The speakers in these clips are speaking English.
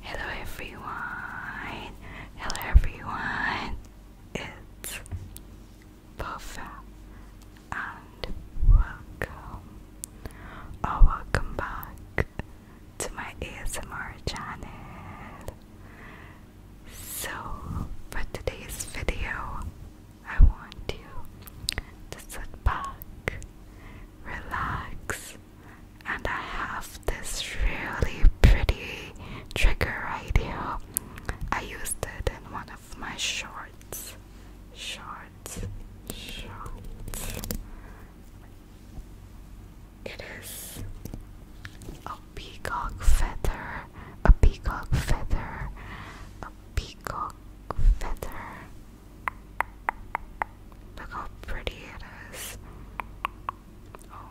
Hello everyone, hello everyone, it's Puffa and welcome or oh, welcome back to my ASMR channel. So for today's video, I want you to sit back, relax, and I have this really pretty trigger right here. I used it in one of my shorts. Shorts, shorts. It is a peacock feather, a peacock feather, a peacock feather. Look how pretty it is. Oh,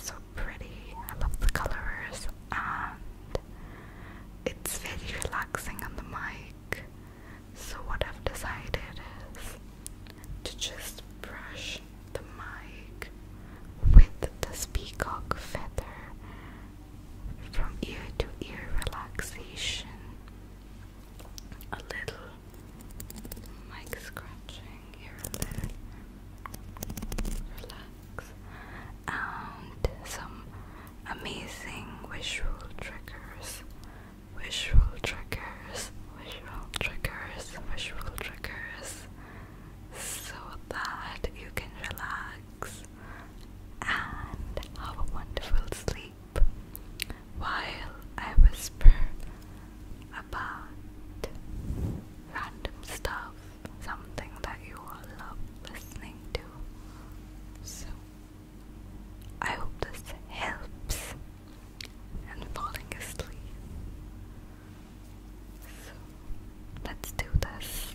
so pretty. I love the colors and it's very relaxing on the mic. So, what I've decided is to just brush the mic with the peacock feather from ear to ear relaxation. A little mic scratching here and Relax. And some amazing visual triggers. Visual triggers. Visual triggers. Visual triggers. So that you can relax and have a wonderful sleep while I whisper about random stuff, something that you all love listening to. So, I hope this helps in falling asleep. So, let's do this.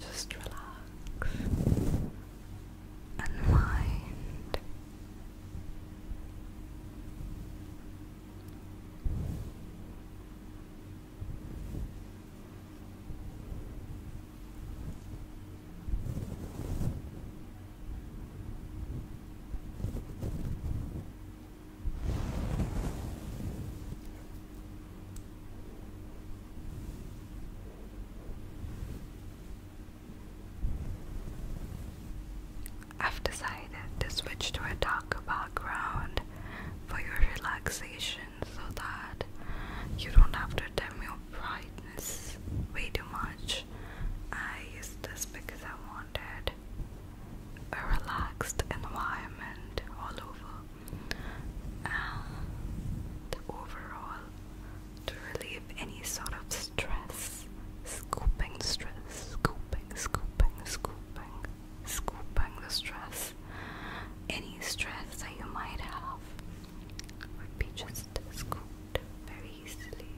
Just relax, unwind. I've decided to switch to a darker background for your relaxation so that you don't have to dim your brightness way too much. I used this because I wanted a relaxed environment all over and overall to relieve any sort of stress. Scooping stress, scooping, scooping, scooping, scooping the stress. Any stress that you might have would be just scooped very easily.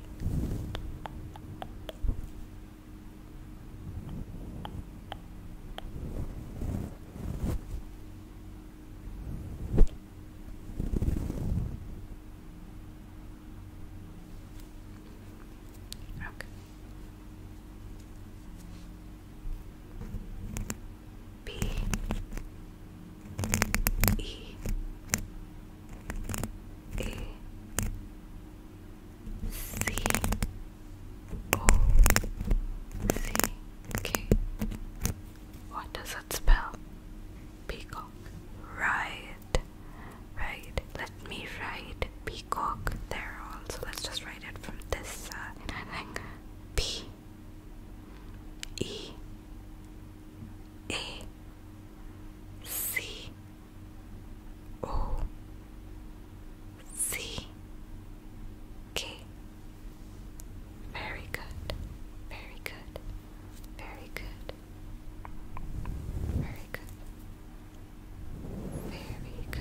Okay. B E A C O C K. What does it spell? Peacock. Right. Right. Let me write peacock there also. Let's just write it from this side. P E A C O C K. Very good, very good, very good, very good, very good.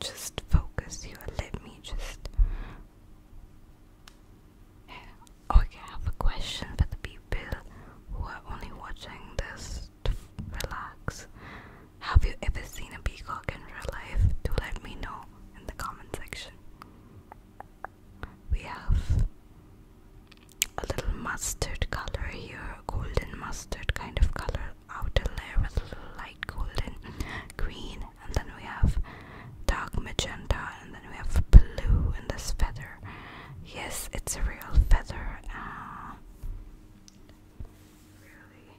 Just focus you and let me just. Okay, oh, I have a question for the people who are only watching this relax. Have you ever seen a peacock in real life? Do let me know in the comment section we have a little mustard color here, golden mustard kind of color, outer layer with a little light golden green, and then we have dark magenta, and then we have blue in this feather. Yes, it's a real feather. Uh, really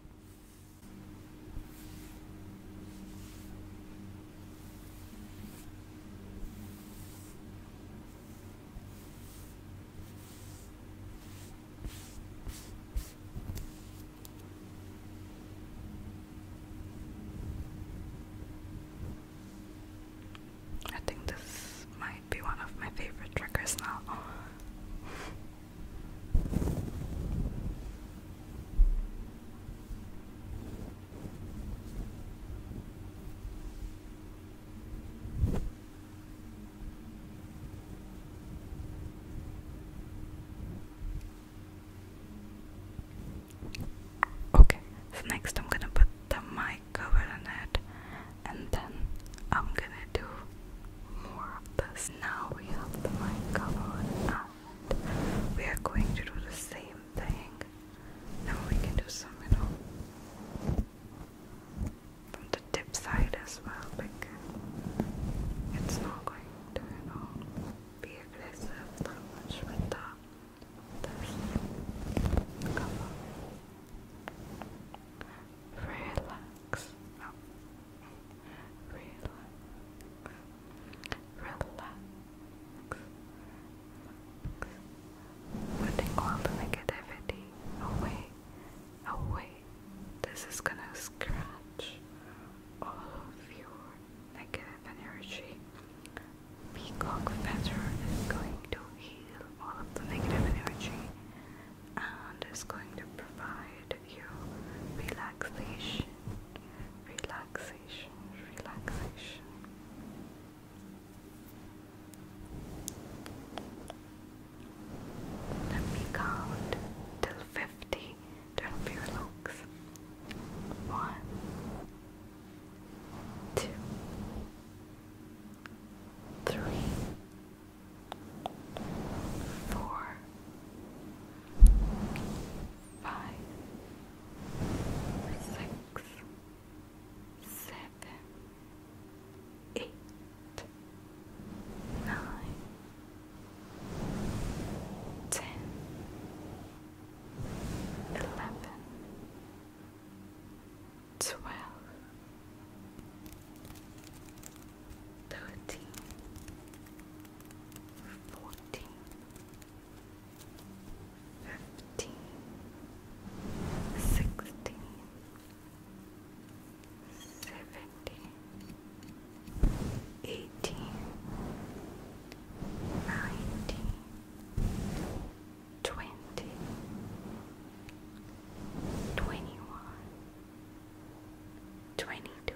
I think this might be one of my favorite triggers now. Okay, so next I'm gonna put the mic cover on it and then I'm gonna do more of this. Now we have the mic cover we are going to do the same thing. Now we can do some, you know, from the tip side as well. Like it's not going to, be aggressive that much with the this cover. Relax. Now relax, relax, putting all the negativity away, away. This is gonna scratch all of your negative energy. Peacock feather is going to heal all of the negative energy and is going to provide you relaxation, relaxation, relaxation. Let me count till 50 to help your looks. One, two, three, four, five, six, seven, eight, nine, ten, eleven, twelve thirteen, fourteen, fifteen, sixteen, seventeen, eighteen, nineteen, twenty, twenty-one. 22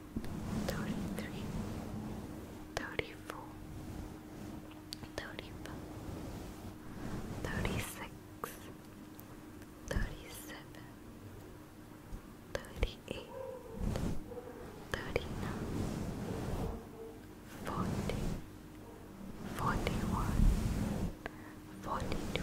thirty-three, thirty-four, thirty-five, thirty-six, thirty-seven, thirty-eight, thirty-nine, forty, forty-one, forty-two.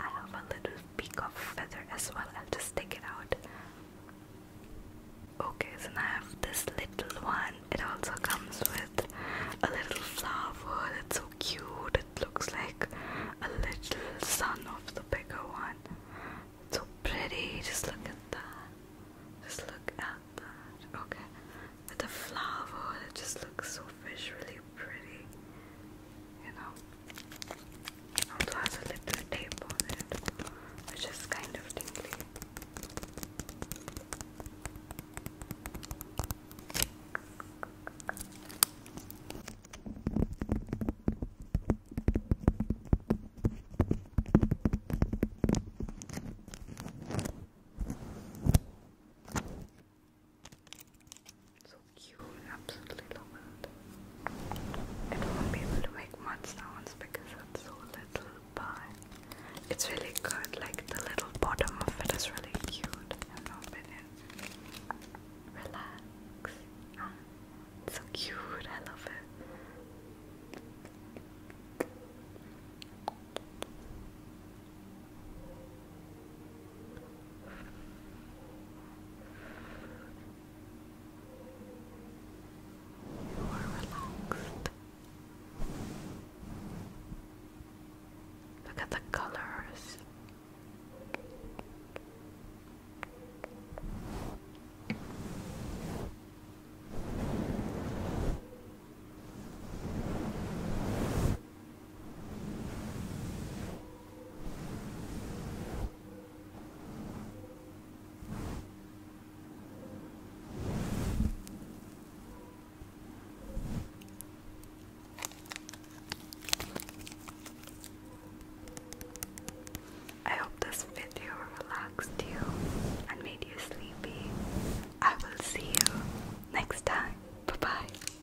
I have a little peak of feather as well. I'll just take it out. Okay, so I have this little one. It also comes with a little flower. It's so cute. It looks like a little son of the bigger one. It's so pretty. Just look at that. Just look at that. Okay. With a flower, it just looks so visually pretty. You know? Also has a little tape on it, which is kind of tingly. So cute, absolutely love it. It won't be able to make much sounds because it's so little, but it's really good. Like the little bottom of it is really cute, in my opinion. Relax. Ah, so cute, I love it. You are relaxed. Look at the colors. I hope this video relaxed you and made you sleepy. I will see you next time. Bye bye.